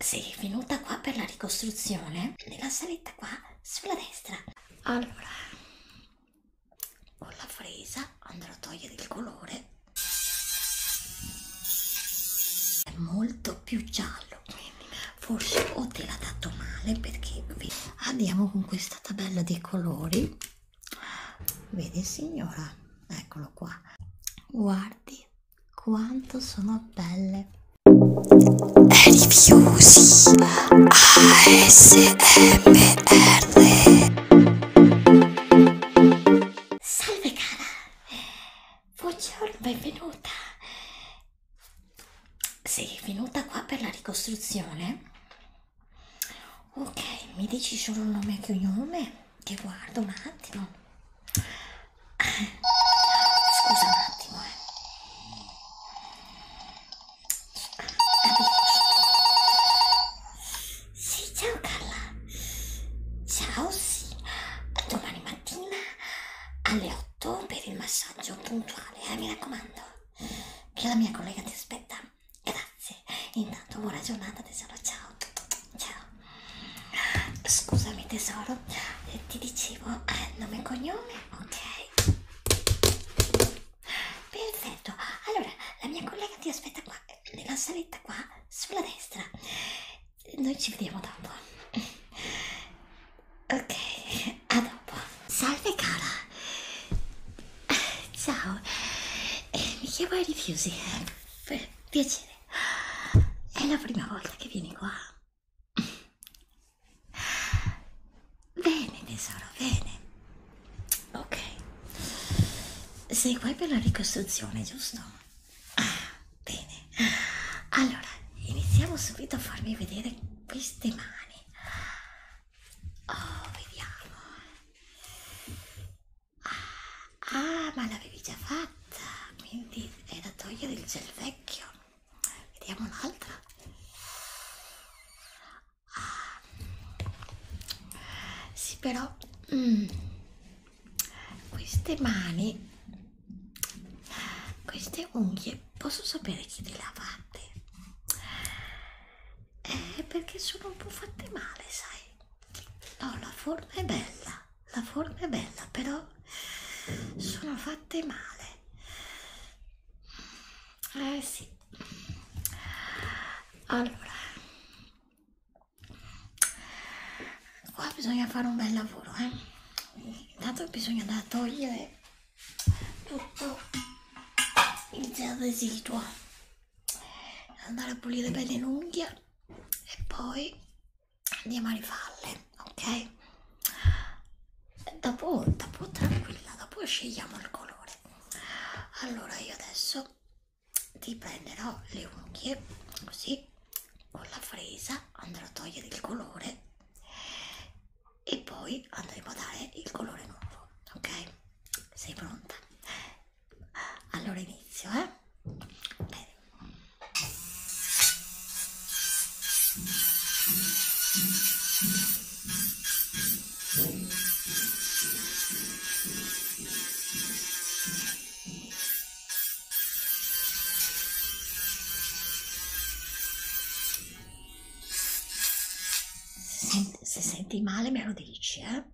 Sei venuta qua per la ricostruzione? Nella saletta qua, sulla destra. Allora, con la fresa andrò a togliere il colore. È molto più giallo, quindi forse o te l'ha dato male perché andiamo con questa tabella dei colori. Vedi signora, eccolo qua. Guardi, quanto sono belle. Rifiusi ASMR. Salve cara. Buongiorno, benvenuta. Sei venuta qua per la ricostruzione? Ok, mi dici solo il nome e cognome? che guardo un attimo scusa un attimo eh sì, ciao Carla. Ciao, sì. Domani mattina alle 8 per il massaggio puntuale, eh, mi raccomando. Che la mia collega ti aspetta. Grazie. Intanto buona giornata tesoro. Ciao. Ciao. Scusami tesoro, eh, ti dicevo eh, nome e cognome, ok? Perfetto, allora la mia collega ti aspetta qua, nella saletta qua, sulla destra. Noi ci vediamo dopo. Ok, a dopo. Salve cara. Ciao, eh, mi chiamo Erifusi. Eh, piacere. È la prima volta che vieni qua. Bene, tesoro, bene. Ok. Sei qua per la ricostruzione, giusto? Ah, bene. Allora, iniziamo subito a farmi vedere queste mani. Oh, vediamo. Ah, ah ma l'avevi già fatta, quindi è da togliere il gel vecchio. Vediamo un'altra. Ah, sì, però mm, queste mani, queste unghie, posso sapere chi le lavate? Eh, perché sono un po' fatte male, sai? No, la forma è bella, la forma è bella, però sono fatte male. Eh sì. Allora, qua bisogna fare un bel lavoro, eh. Intanto bisogna da togliere tutto il residuo andare a pulire bene l'unghia e poi di Marifalle, ok? Dopo, dopo tranquilla, dopo scegliamo il colore. Allora io adesso ti prenderò le unghie così con la fresa andrò a togliere il colore e poi andremo a dare il colore nuovo ok sei pronta allora inizio, eh? Bene. Se senti male me lo dici, eh?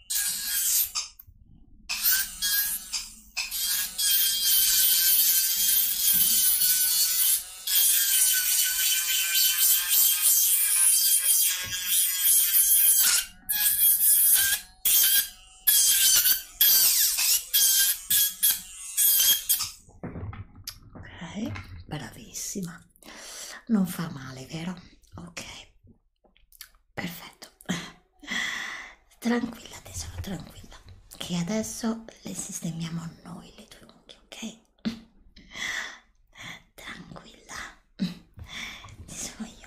Ok, bravissima. Non fa male, vero? Ok perfetto tranquilla tesoro tranquilla che adesso le sistemiamo noi le tue unghie ok tranquilla ci sono io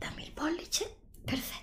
Dammi il pollice, perfetto.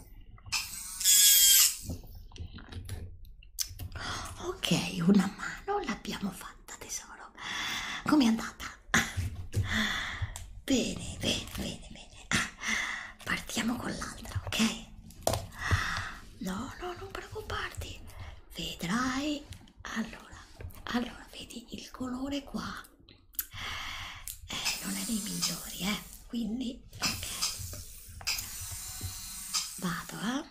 ok una mano l'abbiamo fatta tesoro com'è andata bene bene bene bene partiamo con l'altra ok no no non preoccuparti vedrai allora allora vedi il colore qua eh, non è dei migliori eh quindi ok vado eh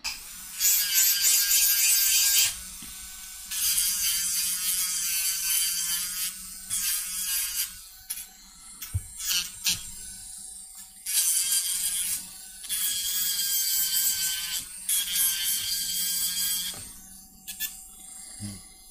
mm.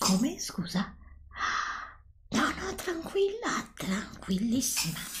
Come? Scusa? No, no, tranquilla, tranquillissima.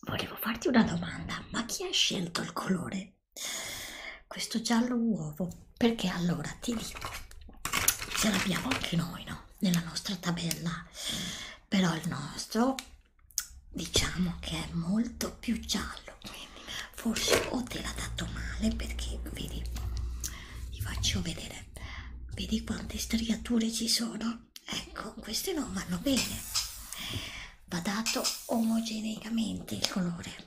Volevo farti una domanda, ma chi ha scelto il colore? Questo giallo uovo, perché allora ti dico, ce l'abbiamo anche noi, no? Nella nostra tabella, però il nostro diciamo che è molto più giallo, quindi forse o te l'ha dato male perché vedi vi faccio vedere vedi quante striature ci sono ecco queste non vanno bene va dato omogeneamente il colore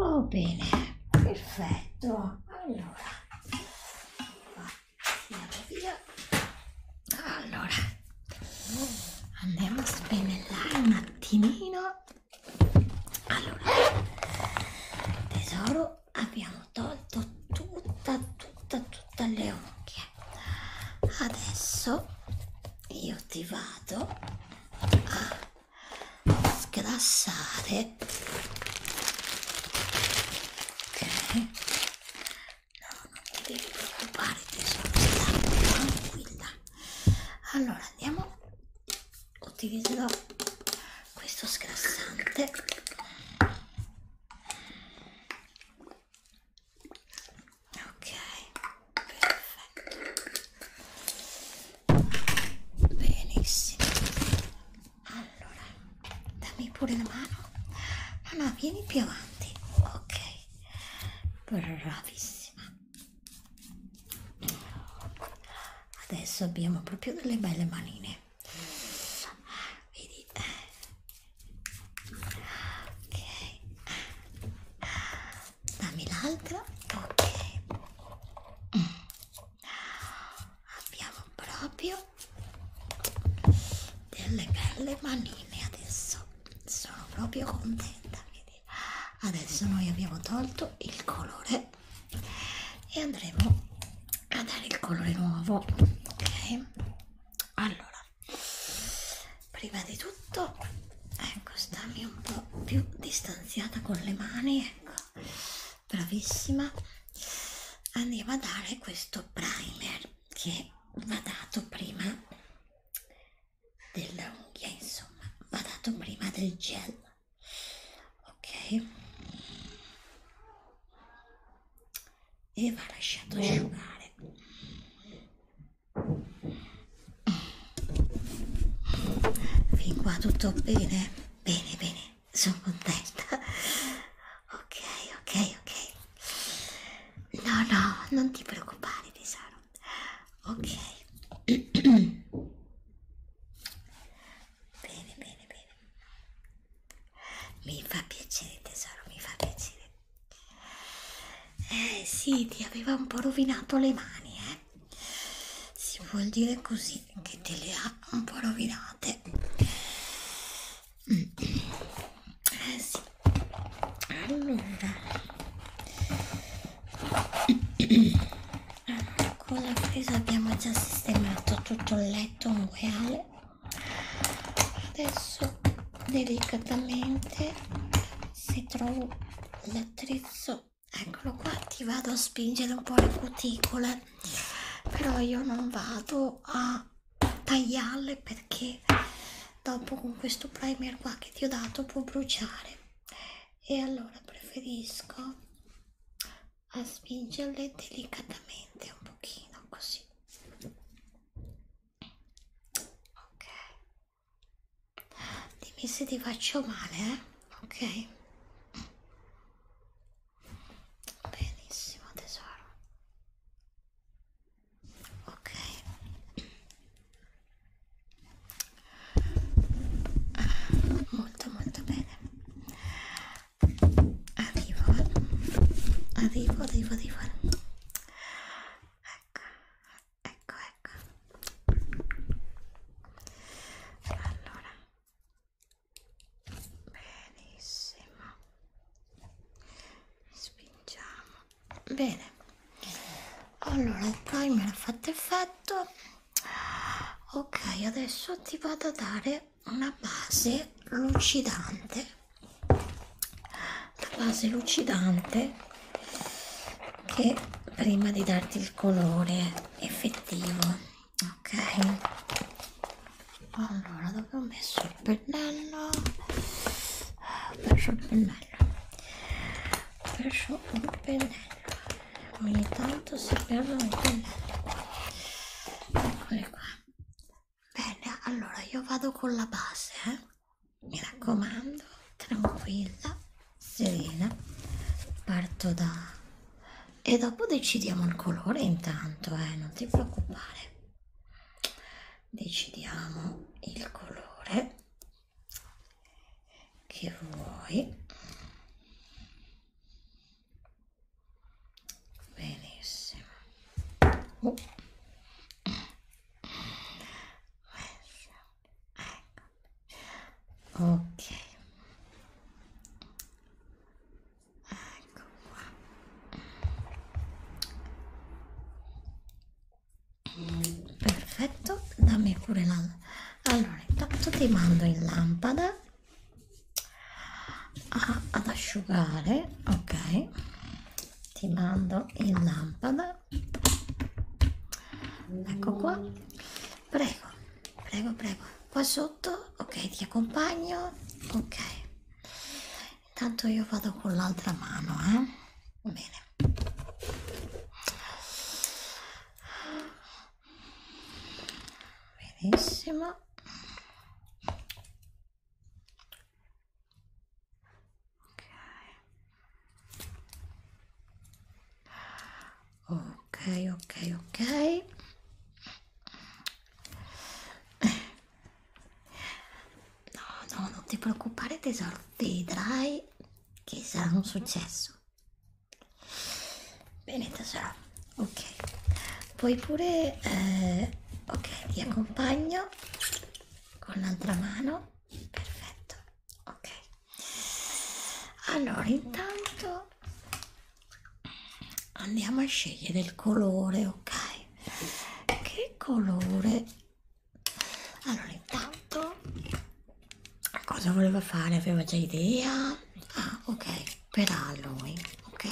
Oh, bene, perfetto. Allora, andiamo via. Allora, andiamo a spennellare un attimino. Allora, tesoro, abbiamo tolto tutta tutta tutta le unghie adesso io ti vado a sgrassare ok no non ti devi preoccupare tesoro stai tranquilla allora andiamo utilizzerò questo sgrassante ok perfetto benissimo allora dammi pure la mano no ah, no vieni più avanti ok bravissima adesso abbiamo proprio delle belle manine vedi ok dammi l'altra ok abbiamo proprio delle belle manine adesso sono proprio contenta vedi? adesso noi abbiamo tolto il colore e andremo a dare il colore nuovo ok allora prima di tutto ecco stammi un po più distanziata con le mani ecco bravissima andiamo a dare questo primer che va dato prima dell'unghia insomma va dato prima del gel ok e va lasciato mm. asciugare fin qua tutto bene bene bene sono contenta ok ok ok no no non ti preoccupare tesoro ok bene bene bene mi fa piacere tesoro, mi fa piacere. Eh sì, ti aveva un po' rovinato le mani, eh. Si vuol dire così che te le ha un po' rovinate. Eh sì. Allora. Allora, con la presa abbiamo già sistemato tutto il letto mureale adesso delicatamente se trovo l'attrezzo eccolo qua ti vado a spingere un po' le cuticole però io non vado a tagliarle perché dopo con questo primer qua che ti ho dato può bruciare e allora preferisco a spingerle delicatamente un pochino così ok dimmi se ti faccio male eh? ok benissimo tesoro ok molto molto bene arrivo arrivo arrivo arrivo ecco ecco ecco allora benissimo spingiamo bene allora il primer ha fatto effetto ok adesso ti vado a dare una base lucidante la base lucidante che prima di darti il colore effettivo ok allora dove ho messo il pennello ho perso il pennello ho perso il pennello ogni tanto si perde un pennello eccole qua bene allora io vado con la base eh? mi raccomando tranquilla serena parto da e dopo decidiamo il colore intanto eh non ti preoccupare decidiamo il colore che vuoi benissimo oh. ecco ok ecco qua perfetto dammi pure la allora intanto ti mando in lampada a, ah, ad asciugare ok ti mando in lampada ecco qua prego prego prego qua sotto ok ti accompagno ok intanto io vado con l'altra mano eh bene benissimo ok ok ok no no non ti preoccupare tesoro vedrai che sarà un successo Bene tesoro, ok. Poi pure, eh, ok, ti accompagno con l'altra mano. Perfetto, ok. Allora, intanto andiamo a scegliere il colore, ok? Che colore? Allora, intanto cosa voleva fare? Aveva già idea? Ah, ok spetterà a lui, ok?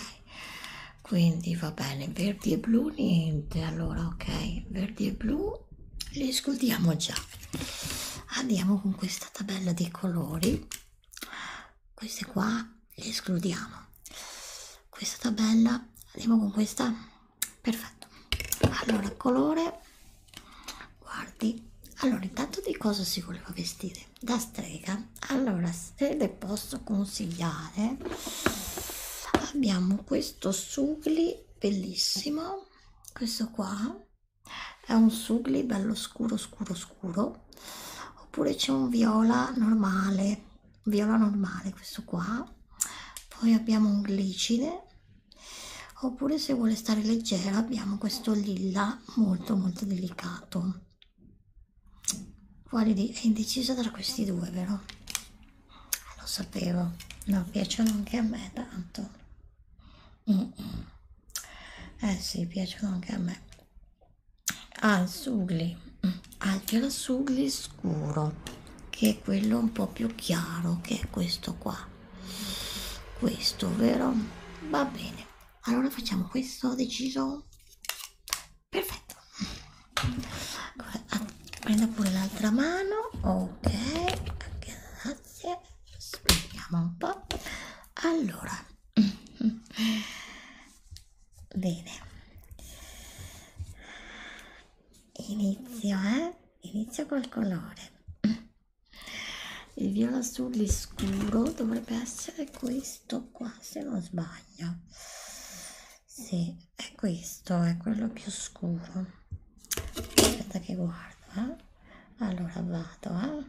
Quindi va bene, verdi e blu niente, allora ok, verdi e blu li escludiamo già. Andiamo con questa tabella dei colori, queste qua le escludiamo. Questa tabella, andiamo con questa, perfetto. Allora, colore, guardi, allora intanto di cosa si voleva vestire? da strega allora se le posso consigliare abbiamo questo sugli bellissimo questo qua è un sugli bello scuro scuro scuro oppure c'è un viola normale viola normale questo qua poi abbiamo un glicine oppure se vuole stare leggera abbiamo questo lilla tema molto molto delicato quale di è indecisa tra questi due vero ah, lo sapevo no piacciono anche a me tanto mm -mm. eh sì piacciono anche a me al sugli al gel sugli scuro che è quello un po più chiaro che è questo qua questo vero va bene allora facciamo questo deciso perfetto ah, prendo pure l'altra mano ok grazie spieghiamo un po' allora bene inizio eh inizio col colore il viola azzurro scuro dovrebbe essere questo qua se non sbaglio sì è questo è quello più scuro aspetta che guardo eh? allora vado eh?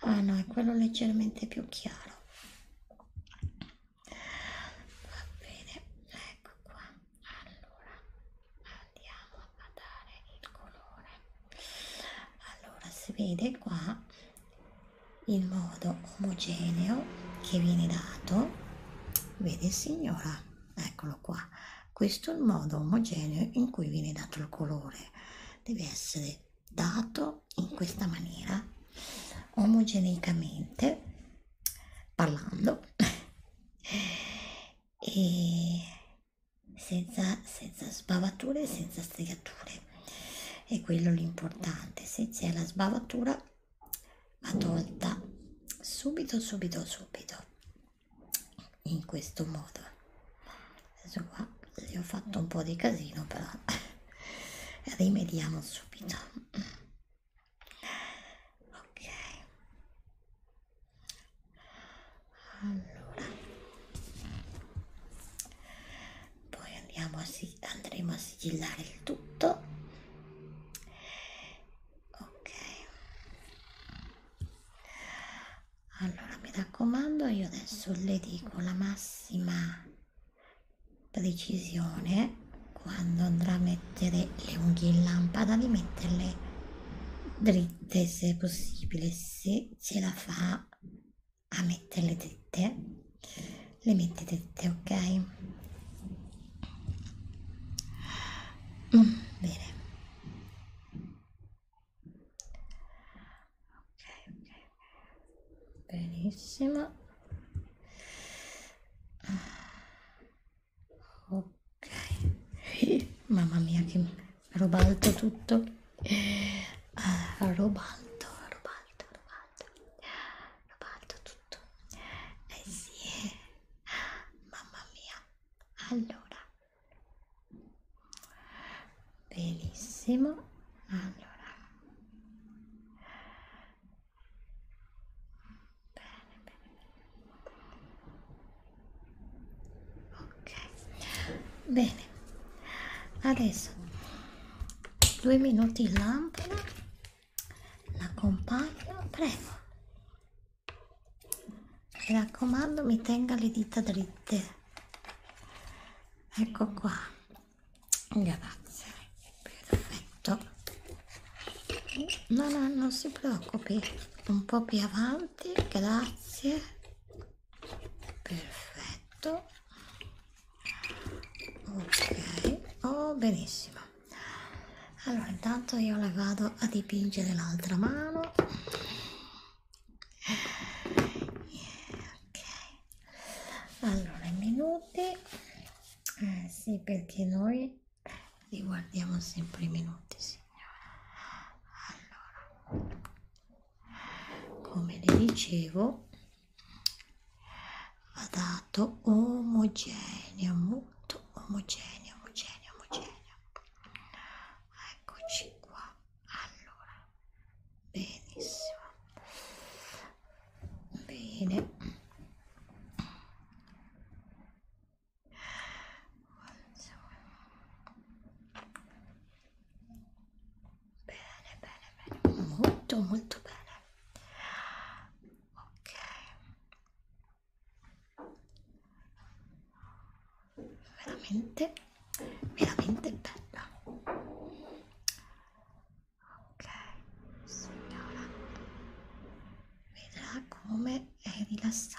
ah no è quello leggermente più chiaro va bene ecco qua allora andiamo a dare il colore allora si vede qua il modo omogeneo che viene dato vede signora eccolo qua questo è il modo omogeneo in cui viene dato il colore deve essere dato in questa maniera omogeneicamente parlando e senza, senza sbavature, senza stregature. E quello l'importante, se c'è la sbavatura va tolta subito, subito, subito. In questo modo. Adesso qua le ho fatto un po' di casino, però rimediamo subito. Ok allora poi andiamo a andremo a sigillare il tutto ok allora mi raccomando io adesso le dico la massima precisione quando andrà a mettere le unghie in lampada di metterle dritte se possibile se se ce la fa a mettere le tette le mette tette ok mm, bene ok ok benissimo ok mamma mia che Robalto tutto. Ah, eh, robalto, robalto, robalto. Robalto tutto. Eh sì. Mamma mia. Allora. Benissimo. Allora. Bene, bene, bene ok bene adesso due minuti in lampada l'accompagno prego mi raccomando mi tenga le dita dritte ecco qua grazie perfetto no no non si preoccupi un po più avanti grazie perfetto ok oh benissimo allora intanto io la vado a dipingere l'altra mano yeah, ok allora i minuti eh, sì perché noi li guardiamo sempre i minuti sì signora allora come le dicevo va dato omogeneo molto omogeneo omogeneo omogeneo eccoci qua allora benissimo bene Bene, bene, bene, molto, molto bene. Ok. Veramente, veramente bella. Ok, signora. Vedrà come è rilassante.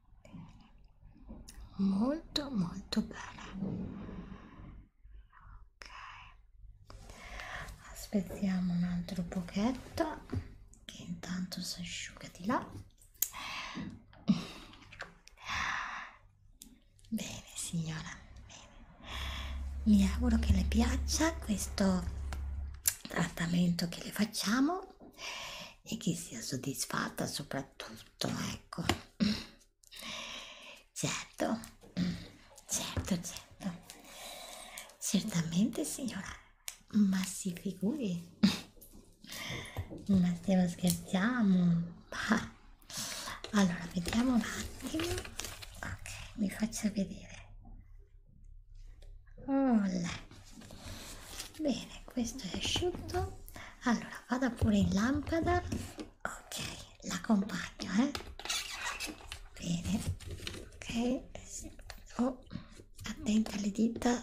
molto molto bene ok aspettiamo un altro pochetto che intanto si asciuga di là bene signora bene. mi auguro che le piaccia questo trattamento che le facciamo e che sia soddisfatta soprattutto ecco certo certo certo certamente signora ma si figuri ma stiamo scherziamo bah. allora vediamo un attimo ok mi faccio vedere Olè. Bene, questo è asciutto. Allora, vada pure in lampada. Ok, l'accompagno, eh. Bene. Ok. Oh, attenta alle dita.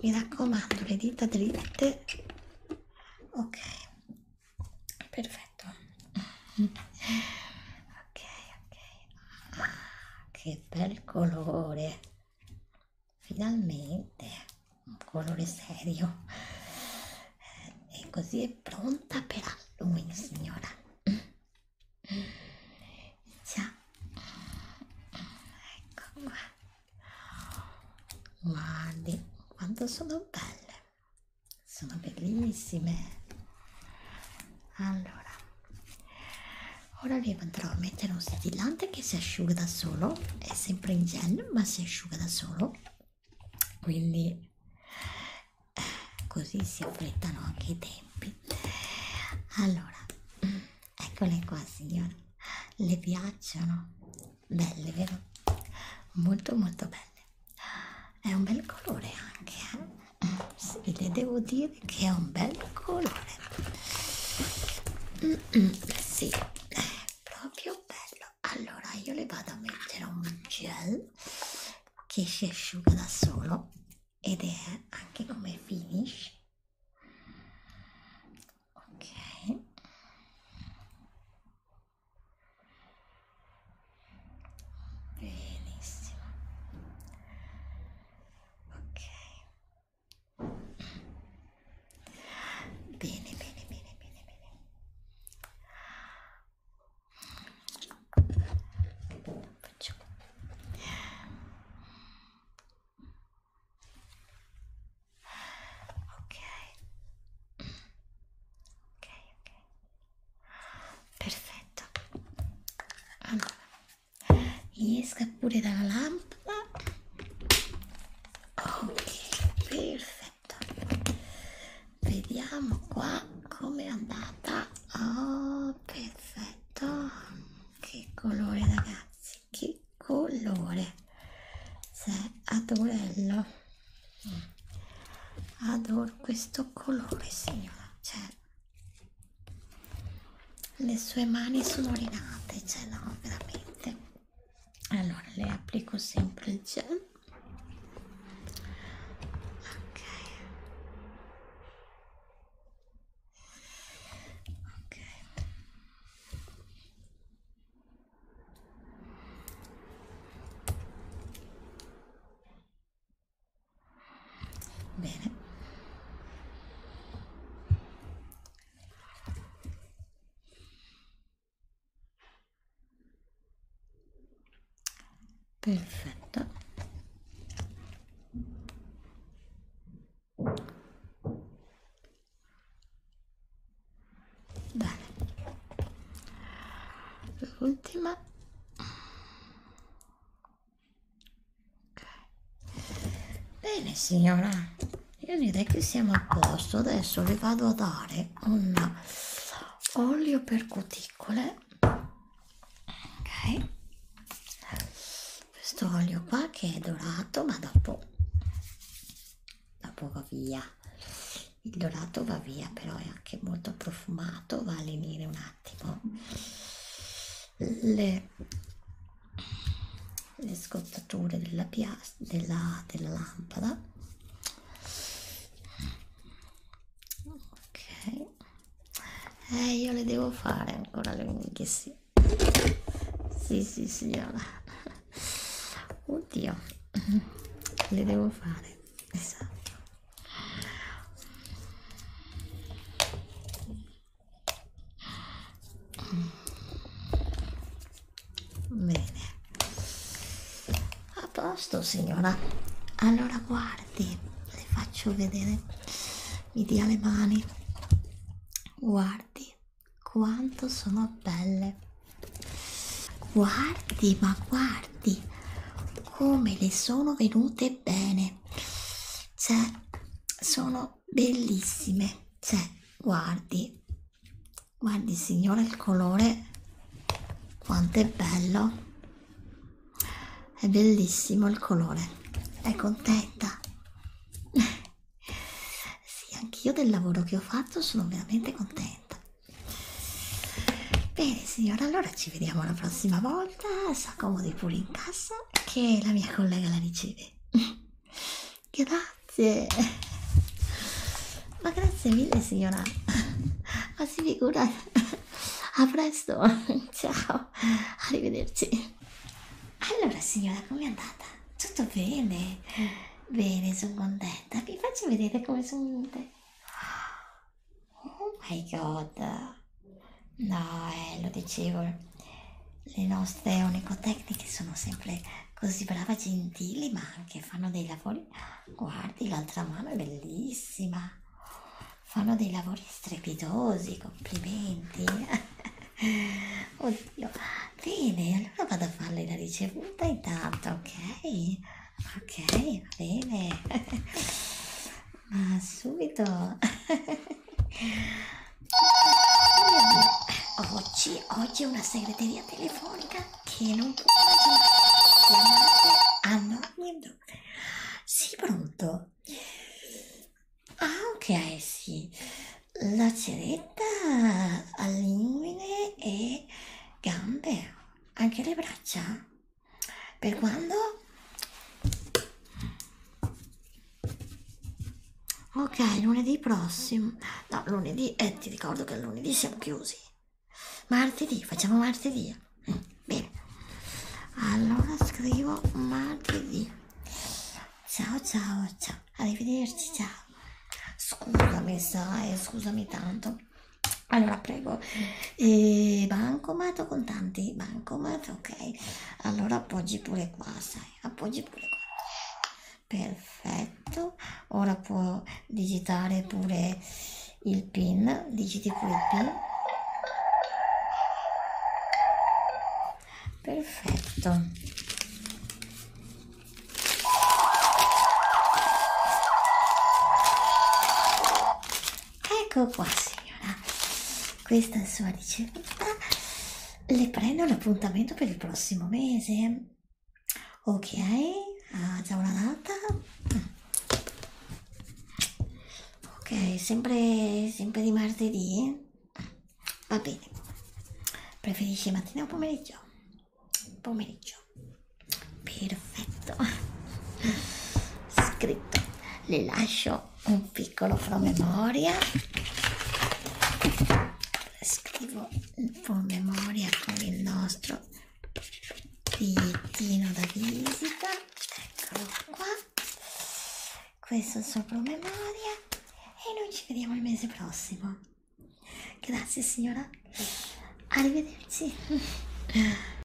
Mi raccomando, le dita dritte. Ok. Perfetto. ok, ok. Ah, che bel colore finalmente un colore serio e così è pronta per Halloween signora ciao ecco qua guardi quanto sono belle sono bellissime allora Ora vi andrò a mettere un stillante che si asciuga da solo, è sempre in gel ma si asciuga da solo, quindi eh, così si affrettano anche i tempi. Allora, mm, eccole qua signora, le piacciono? Belle vero? Molto molto belle. È un bel colore anche, eh? sì, le devo dire che è un bel colore mm -mm, sì è proprio bello allora io le vado a mettere un gel che si asciuga da solo ed è anche come finish ok benissimo ok Bene, bene, bene, bene, bene. Faccio. Ok. Ok, ok. Perfetto. Allora gli esca pure dalla lampada ok perfetto vediamo qua com'è andata oh perfetto che colore ragazzi che colore se adorello mm. adoro questo colore signora cioè le sue mani sono rinate cioè no veramente allora le applico sempre il gel ok ok Bene. Perfetto. Bene. L'ultima ok bene signora io direi che siamo a posto adesso le vado a dare un olio per cuticole ok questo olio qua che è dorato ma dopo dopo va via il dorato va via però è anche molto profumato va a lenire un attimo le, le scottature della, della, della lampada ok eh, io le devo fare ancora le unghie sì sì sì signora oddio le devo fare esatto Bene, a posto signora. Allora guardi, le faccio vedere, mi dia le mani. Guardi quanto sono belle. Guardi, ma guardi come le sono venute bene cioè sono bellissime cioè guardi guardi signora il colore quanto è bello è bellissimo il colore è contenta sì anch'io del lavoro che ho fatto sono veramente contenta bene signora allora ci vediamo la prossima volta volta s'accomodi pure in cassa che la mia collega la riceve grazie ma grazie mille signora ma si figura a presto ciao arrivederci allora signora com'è andata? tutto bene bene sono contenta vi faccio vedere come sono venute Oh my god. No, eh, lo dicevo. Le nostre onicotecniche sono sempre così brave, gentili, ma anche fanno dei lavori. Guardi, l'altra mano è bellissima. Fanno dei lavori strepitosi, complimenti. Oddio. Bene, allora vado a farle la ricevuta intanto, ok? Ok, va bene. Ma subito! oggi, oggi è una segreteria telefonica che non può immaginare. Chiamate a nome do. Sì, pronto. Ah, ok, sì. La ceretta a linguine e gambe, anche le braccia? Per quando? Ok, lunedì prossimo. No, lunedì, eh, ti ricordo che lunedì siamo chiusi. Martedì, facciamo martedì. Mm, bene. Allora scrivo martedì. Ciao, ciao, ciao. Arrivederci, ciao. Scusami, sai, scusami tanto. Allora, prego, mm. e bancomat o contanti? Bancomat, ok. Allora appoggi pure qua, sai, appoggi pure qua. Perfetto. Ora può digitare pure il PIN, digiti pure il PIN. Perfetto. Ecco qua signora, questa è sua ricevuta, le prendo l'appuntamento per il prossimo mese. Ok, ha già una data? Ok, sempre, sempre di martedì? Va bene, preferisci mattina o pomeriggio? Pomeriggio, perfetto, scritto le lascio un piccolo promemoria scrivo il promemoria con il nostro bigliettino da visita eccolo qua questo è il suo promemoria e noi ci vediamo il mese prossimo grazie signora arrivederci